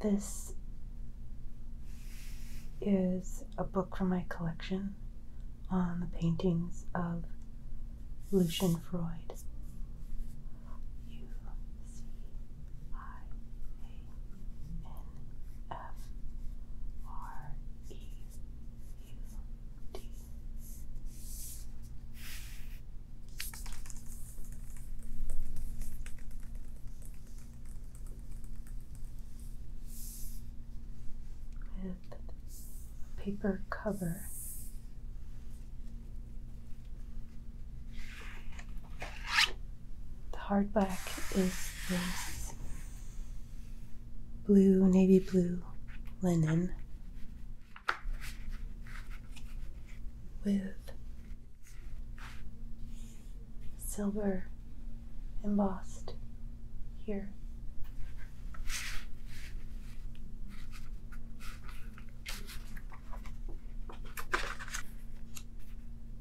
This is a book from my collection on the paintings of Lucian Freud. U C I A N F R E U D. With paper cover. The hardback is this blue, navy blue linen with silver embossed here.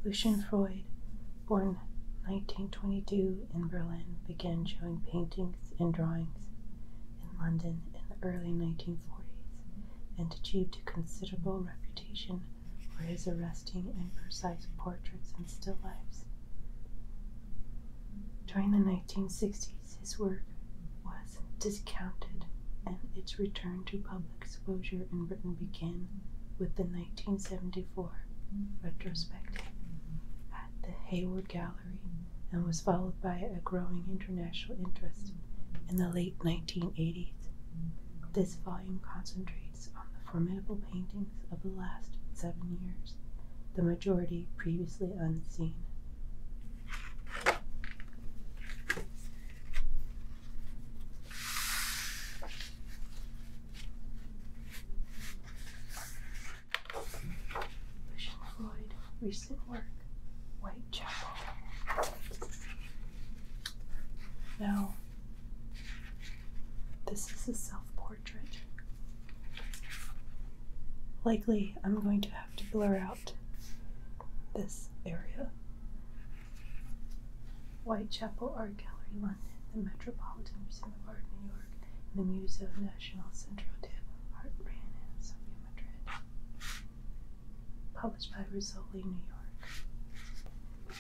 Lucian Freud, born 1922 in Berlin, began showing paintings and drawings in London in the early 1940s and achieved a considerable reputation for his arresting and precise portraits and still lifes. During the 1960s, his work was discounted and its return to public exposure in Britain began with the 1974 retrospective at the Hayward Gallery and was followed by a growing international interest in the late 1980s. This volume concentrates on the formidable paintings of the last seven years, the majority previously unseen. Christian Freud, recent work, Whitechapel. Now, this is a self portrait. Likely, I'm going to have to blur out this area Whitechapel Art Gallery, London, the Metropolitan Museum of Art, New York, and the Museo Nacional Centro de Arte ran in Sofia, Madrid. Published by Rizzoli, New York.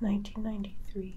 Nineteen ninety three.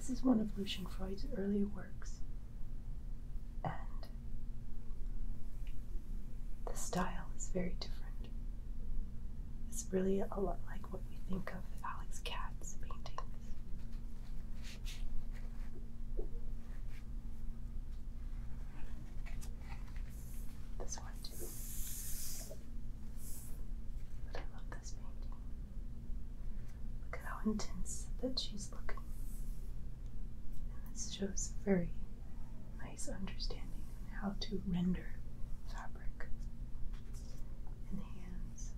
This is one of Lucian Freud's early works and the style is very different. It's really a lot like what we think of Alex Katz's paintings. This one too. But I love this painting. Look at how intense that she's looking. And this shows very nice understanding on how to render fabric in hands.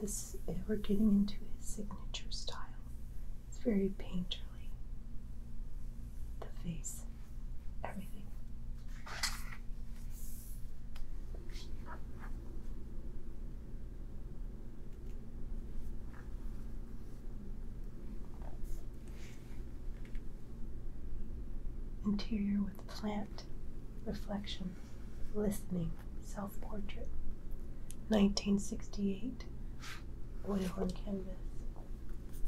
This, eh, we're getting into his signature style. It's very painterly the face, everything. Interior with plant, reflection, listening, self portrait, 1968, oil on canvas.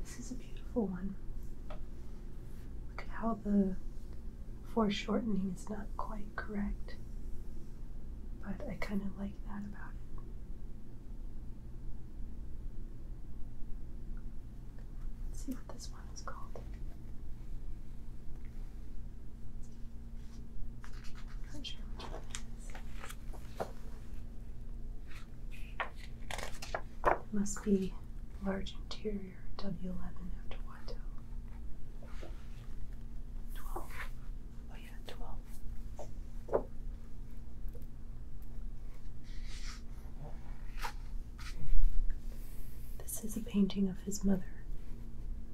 This is a beautiful one. Look at how the foreshortening is not quite correct, but I kind of like that about it. Let's see what this one is called. Must be large interior W11 after Watto. 12. Oh, yeah, 12. This is a painting of his mother.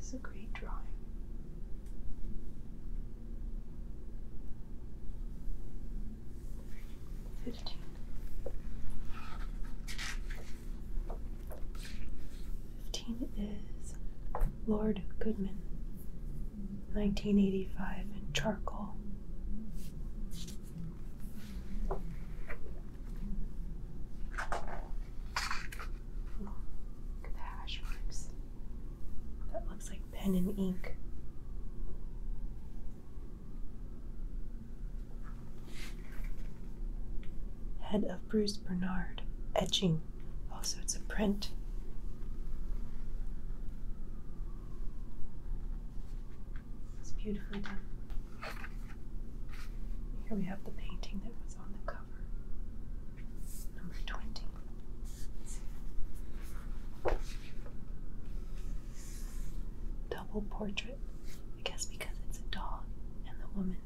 This is a great drawing. Fifteen. Fifteen is Lord Goodman, nineteen eighty five in charcoal. Look at the hash marks. That looks like pen and ink. Head of Bruce Bernard. Etching. Also, it's a print. It's beautifully done. Here we have the painting that was on the cover. Number 20. Double portrait. I guess because it's a dog and the woman.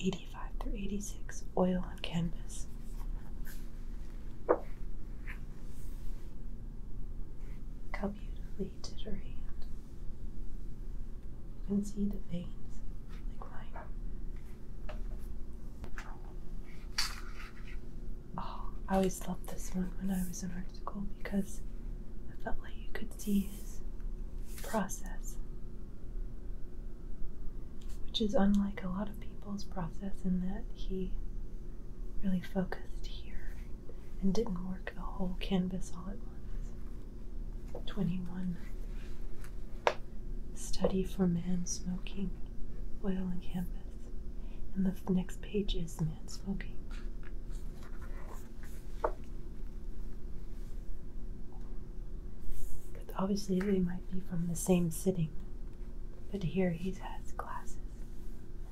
85 through 86, oil on canvas beautifully he did her hand. You can see the veins like mine. Oh, I always loved this one when I was in art school because I felt like you could see his process, which is unlike a lot of people's process in that he really focused here and didn't work the whole canvas all at once. 21. Study for man smoking, oil and canvas. And the next page is man smoking. But obviously, they might be from the same sitting. But here he has glasses.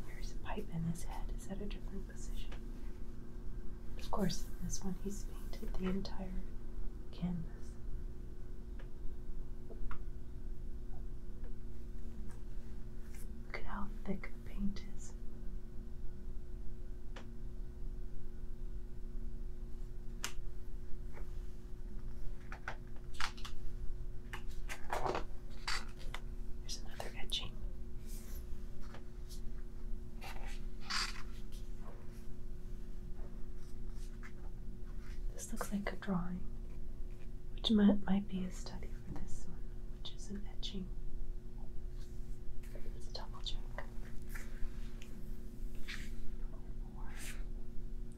There's a pipe in his head. Is that a different of course, in this one, he's painted the entire canvas. Look at how thick the paint is. There's another etching. This looks like a drawing, which might, might be a study for this one, which is an etching. Let's double check. Or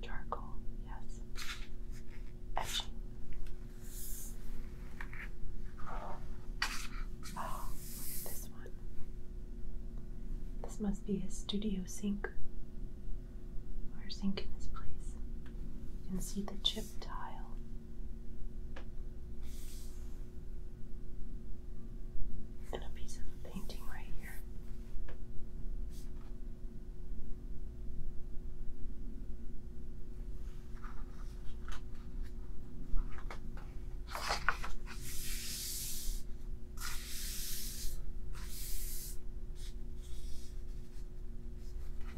charcoal, yes. Etching this one. This must be his studio sink or sink in his place. You can see the chip tile. And a piece of painting right here. I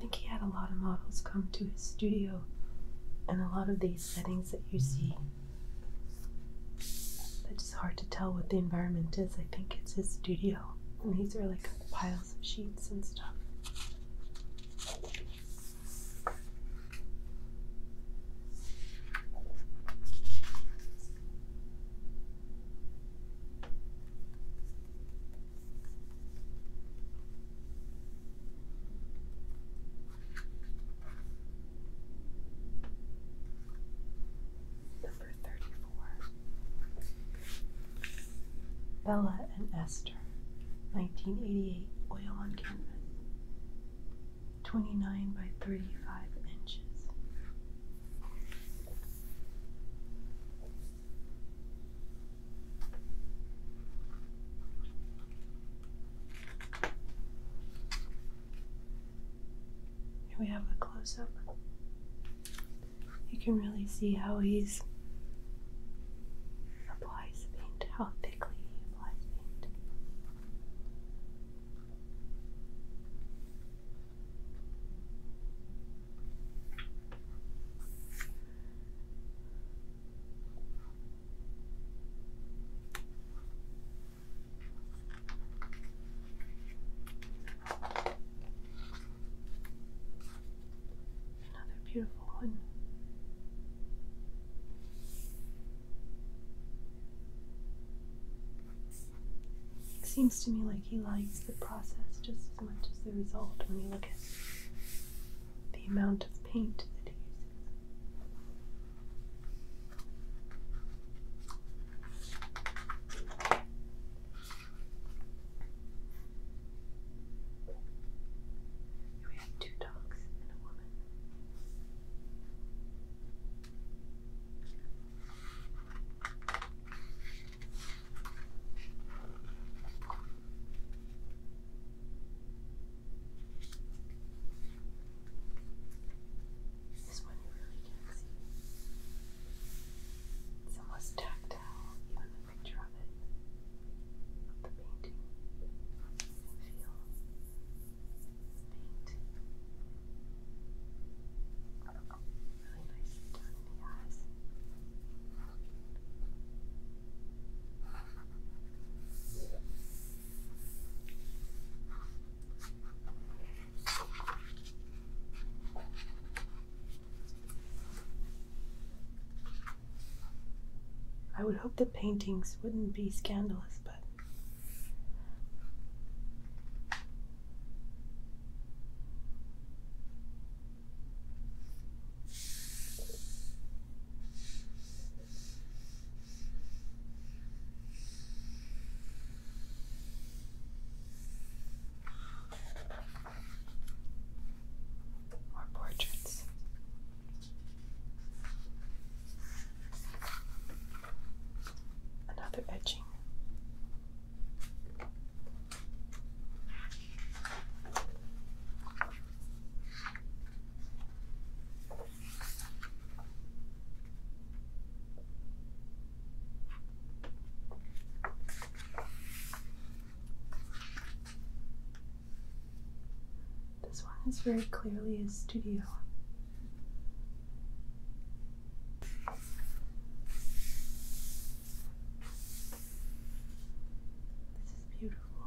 think he had a lot of models come to his studio, and a lot of these settings that you see. It's just hard to tell what the environment is. I think it's his studio, and these are like piles of sheets and stuff. Number thirty four. Bella and Esther, 1988 oil on canvas, 29 by 35 inches. Here we have a close up you can really see how he's applies paint, how thickly he applies paint. Another beautiful one. seems to me like he likes the process just as much as the result when you look at the amount of paint that he uses. We have two dogs and a woman. This one really can see. It's almost tactile, even a picture of it, of the painting, feel the Really nicely done in the eyes. I would hope the paintings wouldn't be scandalous, but. More portraits. Another etching. This one is very clearly a studio. This is beautiful.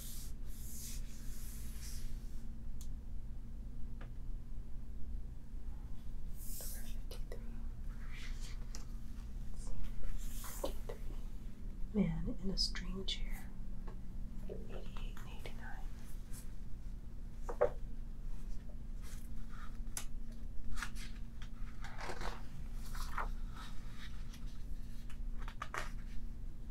Man in a String Chair, eighty-eight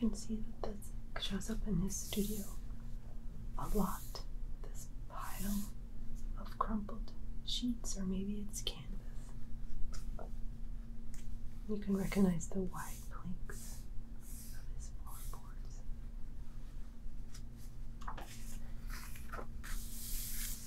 You can see that this shows up in his studio a lot. This pile of crumpled sheets, or maybe it's canvas. You can recognize the wide planks of his floorboards. You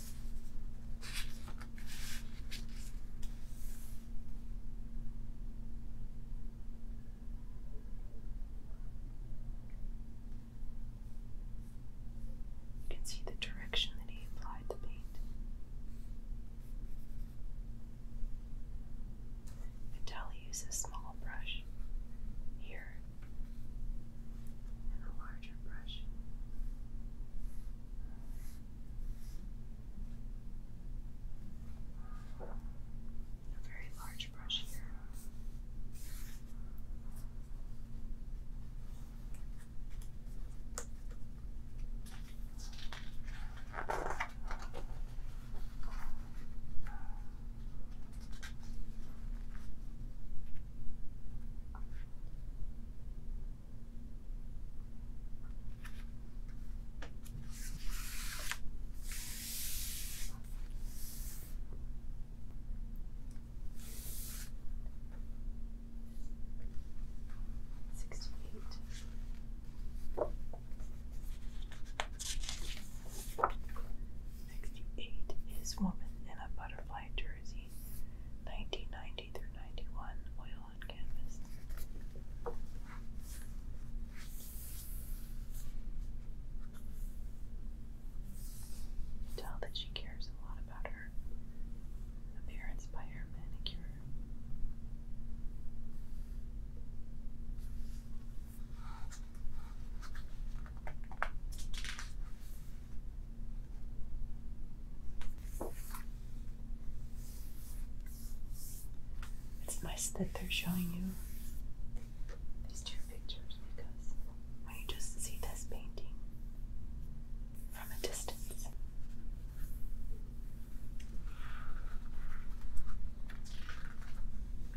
can see the direction that he applied the paint. And uses small brush here and a larger brush a very large brush here. 68 68 is woman in a butterfly dress 1990 through 91, oil and canvas. Tell that she cares a lot about her appearance by her manicure. It's nice that they're showing you these two pictures because when you just see this painting from a distance.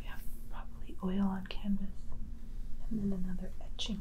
We have probably oil on canvas and then another etching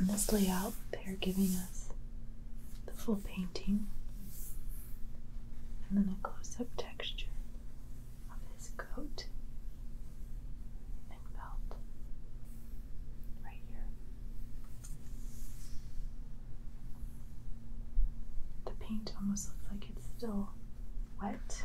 In this layout, they're giving us the full painting and then a close up texture of his coat and belt right here. The paint almost looks like it's still wet